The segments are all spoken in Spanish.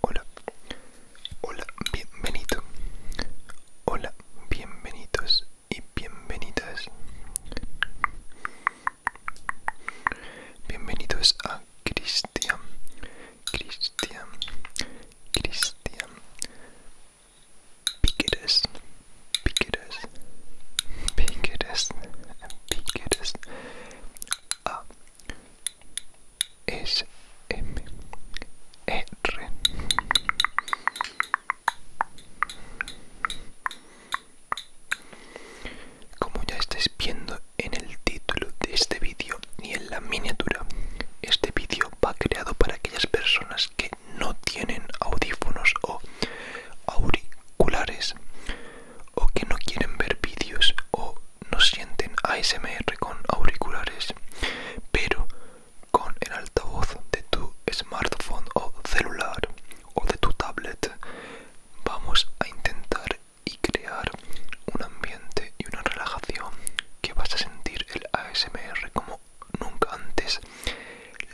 Hola, hola, bienvenido. Hola, bienvenidos y bienvenidas. Bienvenidos a Cristian, Cristian, Cristian Piqueres, piqueres, piqueres, piqueres. A S M e, R Como ya estáis viendo en el título de este vídeo y en la miniatura, este vídeo va creado para aquellas personas que no tienen audífonos o auriculares o que no quieren ver vídeos o no sienten ASMR con auriculares pero con el altavoz de tu smartphone o celular o de tu tablet vamos a intentar y crear un ambiente y una relajación que vas a sentir el ASMR como nunca antes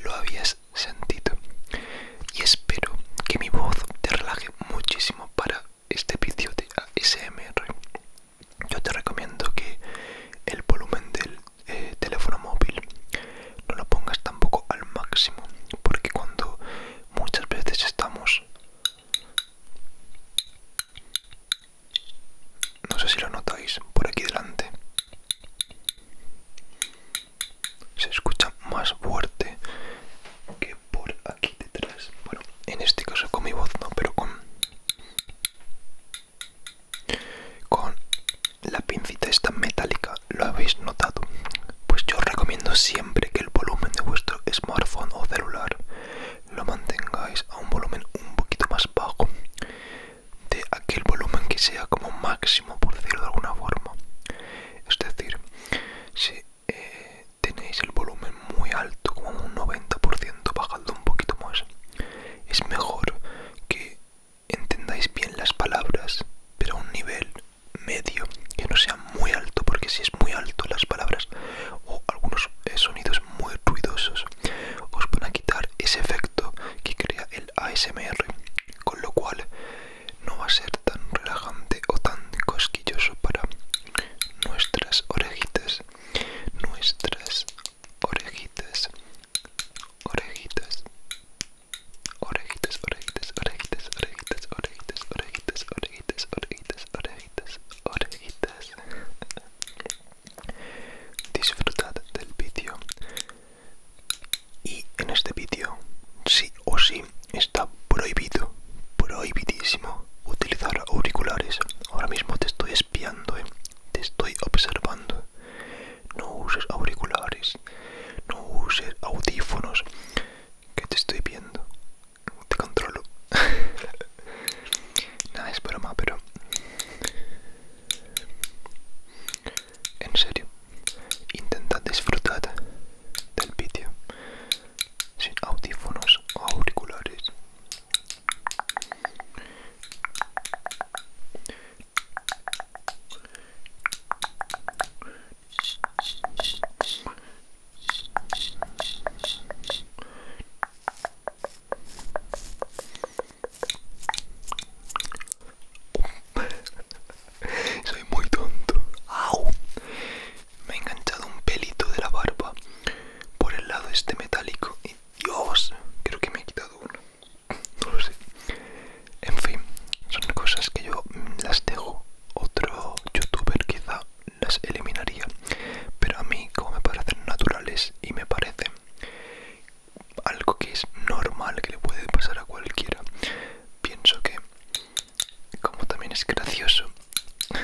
lo habías sentido. Y espero que mi voz te relaje muchísimo para este vídeo de ASMR. Yo te recomiendo que el volumen del eh, teléfono móvil no lo pongas tampoco al máximo, porque cuando muchas veces estamos... No sé si lo notáis por aquí delante se escucha más fuerte que por aquí detrás bueno en este caso con mi voz no pero con con la pincita esta metálica lo habéis notado pues yo recomiendo siempre que el volumen de vuestro smartphone o celular lo mantengáis a un volumen un poquito más bajo de aquel volumen que sea como máximo, por decirlo de alguna forma. Es decir, si eh, tenéis el volumen muy alto, como un 90%, bajando un poquito más. Es mejor que entendáis bien las palabras, pero a un nivel medio, que no sea muy alto, porque si es muy alto las palabras o algunos eh, sonidos muy ruidosos, os van a quitar ese efecto que crea el ASMR, con lo cual no va a ser tan relajante o tan cosquilloso para nuestras orejitas, nuestras orejitas, orejitas, orejitas, orejitas, orejitas, orejitas, orejitas, orejitas, orejitas, orejitas, orejitas, orejitas. Disfrutad del vídeo y en este vídeo, sí o sí, está prohibido, prohibidísimo utilizar auriculares. Ahora mismo te estoy espiando, ¿eh? te estoy observando. No uses auriculares, no uses audífonos, que te estoy viendo, te controlo. Nada, es broma, pero en serio, intenta disfrutar del vídeo sin audífonos o auriculares. Soy muy tonto. Me ha enganchado un pelito de la barba por el lado este metálico. Y Dios, creo que me he quitado uno. No lo sé. En fin, son cosas que yo mm, las dejo. Otro youtuber quizá las eliminaría. Pero a mí, como me parecen naturales y me parecen algo que es normal, que le puede pasar a cualquiera. Pienso que, como también es gracioso,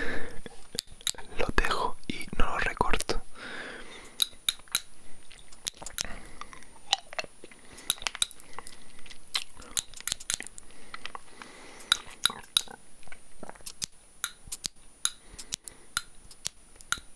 lo dejo y no lo recorto.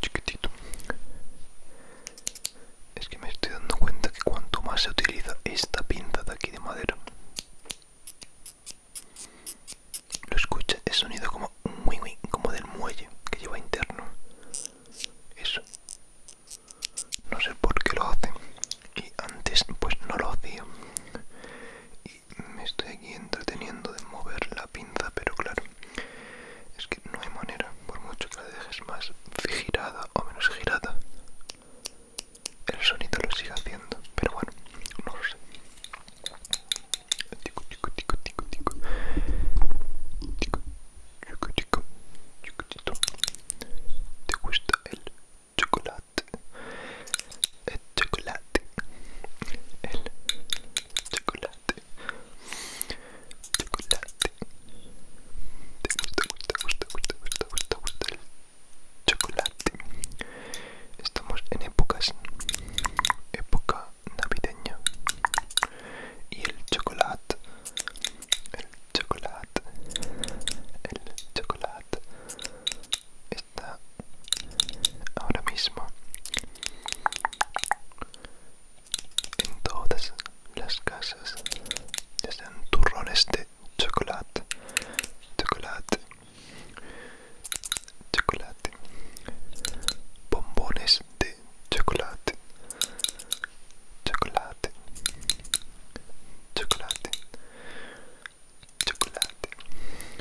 chiquitito es que me estoy dando cuenta que cuanto más se utiliza esta pinza de aquí de madera lo escucha el sonido como un muy como del muelle que lleva interno eso no sé por qué lo hacen y antes pues no lo hacía y me estoy aquí entreteniendo de mover la pinza pero claro es que no hay manera, por mucho que la dejes más girada o menos girada, el sonido lo sigue haciendo, pero bueno, no lo sé. tico, tico, tico. ¿Te gusta el chocolate? El chocolate. El chocolate chocolate. Chocolate. Te gusta, gusta, gusta, gusta, gusta, el chocolate. Estamos en épocas. Época navideña. Y el chocolate. El chocolate. El chocolate. Está ahora mismo en todas las casas están turrones de chocolate chocolate chocolate bombones de chocolate chocolate chocolate chocolate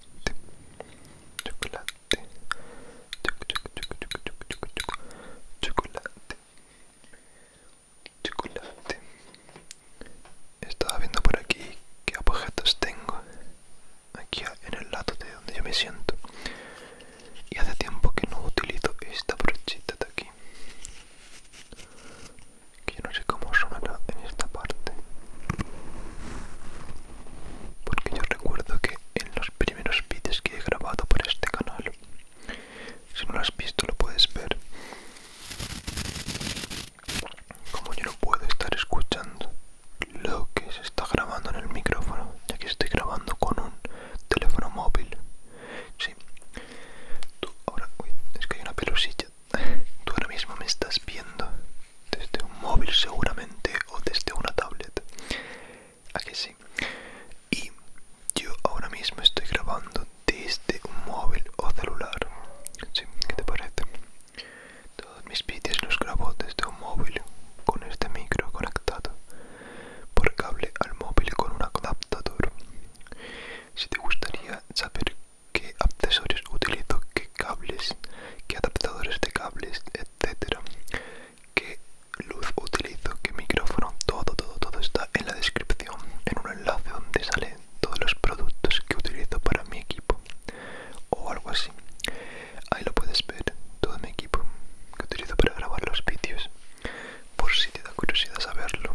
chocolate chocolate chocolate chocolate chocolate estaba viendo por aquí qué objetos tengo aquí en el lado de donde yo me siento y hace tiempo que no utilizo esta brochita de aquí que yo no sé cómo sonará en esta parte porque yo recuerdo que en los primeros vídeos que he grabado por este canal si no lo has visto lo puedes ver como yo no puedo estar escuchando lo que se está grabando en el micrófono ya que estoy grabando con un teléfono móvil sí tú ahora es que hay una pelusilla tú ahora mismo me estás viendo desde un móvil seguramente o desde una tablet. aquí que sí? Y yo ahora mismo estoy grabando desde un móvil o celular. ¿Sí? ¿Qué te parece? Todos mis vídeos los grabo desde un móvil con este micro conectado por cable al móvil con un adaptador. Si te gustaría saber qué accesorios utilizo, qué cables, qué adaptadores de cables, etcétera, qué luz utilizo, qué micrófono, todo, todo, todo está en la descripción, en un enlace donde salen todos los productos que utilizo para mi equipo o algo así. Ahí lo puedes ver, todo mi equipo que utilizo para grabar los vídeos, por si te da curiosidad saberlo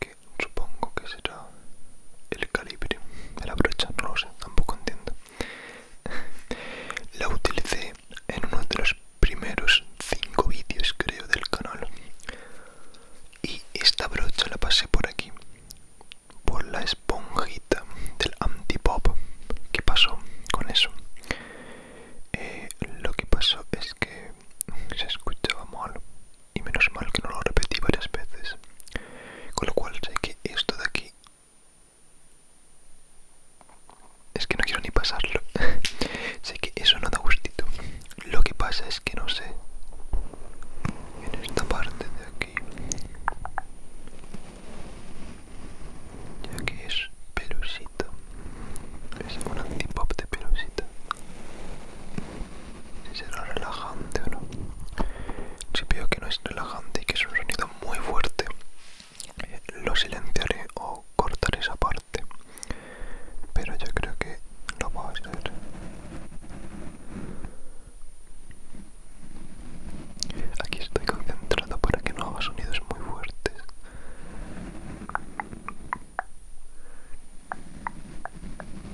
que supongo que será el calibre de la brocha, no lo sé, tampoco entiendo. la utilicé en uno de los primeros 5 vídeos, creo, del canal. Y esta brocha la pasé por aquí, por la esponjita del antipop. ¿Qué pasó con eso? Eh, lo que pasó es que se escuchaba mal y menos mal que no lo repetí varias veces. Con lo cual sé que esto de aquí... Es que no quiero ni pasarlo. sé que eso no da gustito. Lo que pasa es que no sé. En esta parte de aquí... Ya que es pelusita. Es un antipop de pelusita si será relajante o no. Si veo que no es relajante y que es un sonido muy fuerte, lo silenciaré o cortaré esa parte. Pero yo creo que lo va a ser Aquí estoy concentrado para que no haga sonidos muy fuertes.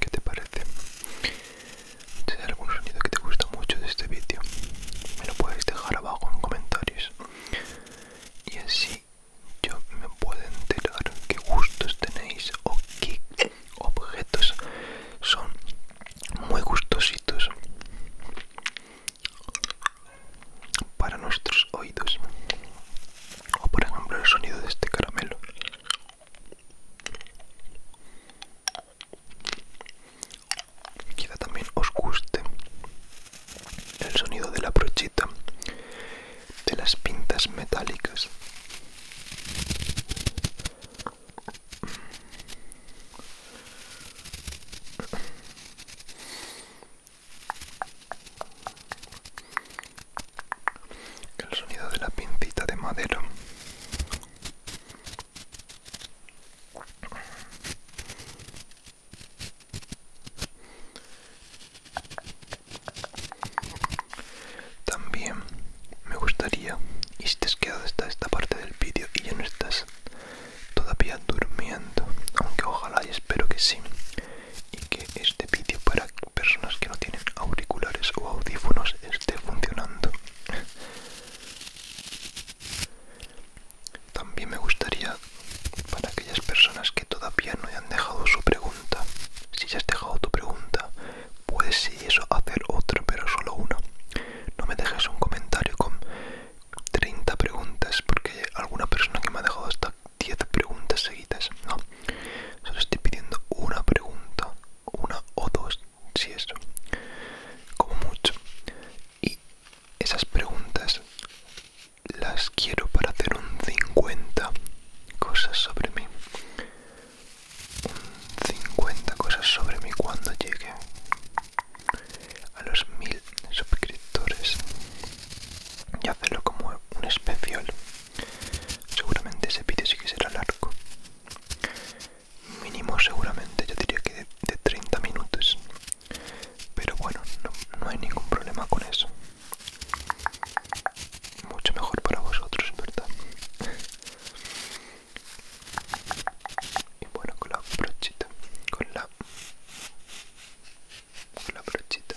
¿Qué te parece? Si hay algún sonido que te gusta mucho de este vídeo, me lo puedes dejar abajo en comentarios. Y así yo me puedo enterar qué gustos tenéis o qué objetos son muy gustositos para nuestros oídos o por ejemplo el sonido de este caramelo Queda también os guste el sonido de la brochita, de las pintas metálicas el sonido de la pincita de madera también me gustaría y si te quedado hasta esta parte del vídeo y ya no estás todavía durmiendo aunque ojalá y espero que sí y que este vídeo para personas que no tienen auriculares o audífonos esté funcionando. También me gustaría para aquellas personas que todavía no hayan dejado su pregunta, si ya has dejado tu pregunta, puedes si eso hacer otro, pero solo uno. No me dejes un comentario con 30 preguntas porque alguna persona que me ha dejado hasta 10 preguntas seguidas, no. Solo estoy pidiendo una pregunta, una o dos, si eso, como mucho. Y esas preguntas las quiero para hacer un 50 cosas sobre mí. Un 50 cosas sobre mí cuando llegue a los mil suscriptores y hacerlo como un especial Seguramente ese vídeo sí que será largo. Mínimo seguramente, yo diría que de, 30 minutos. Pero bueno, no, hay ningún problema con eso. Mucho mejor para vosotros, ¿verdad? Y bueno, con la brochita, con la, con la brochita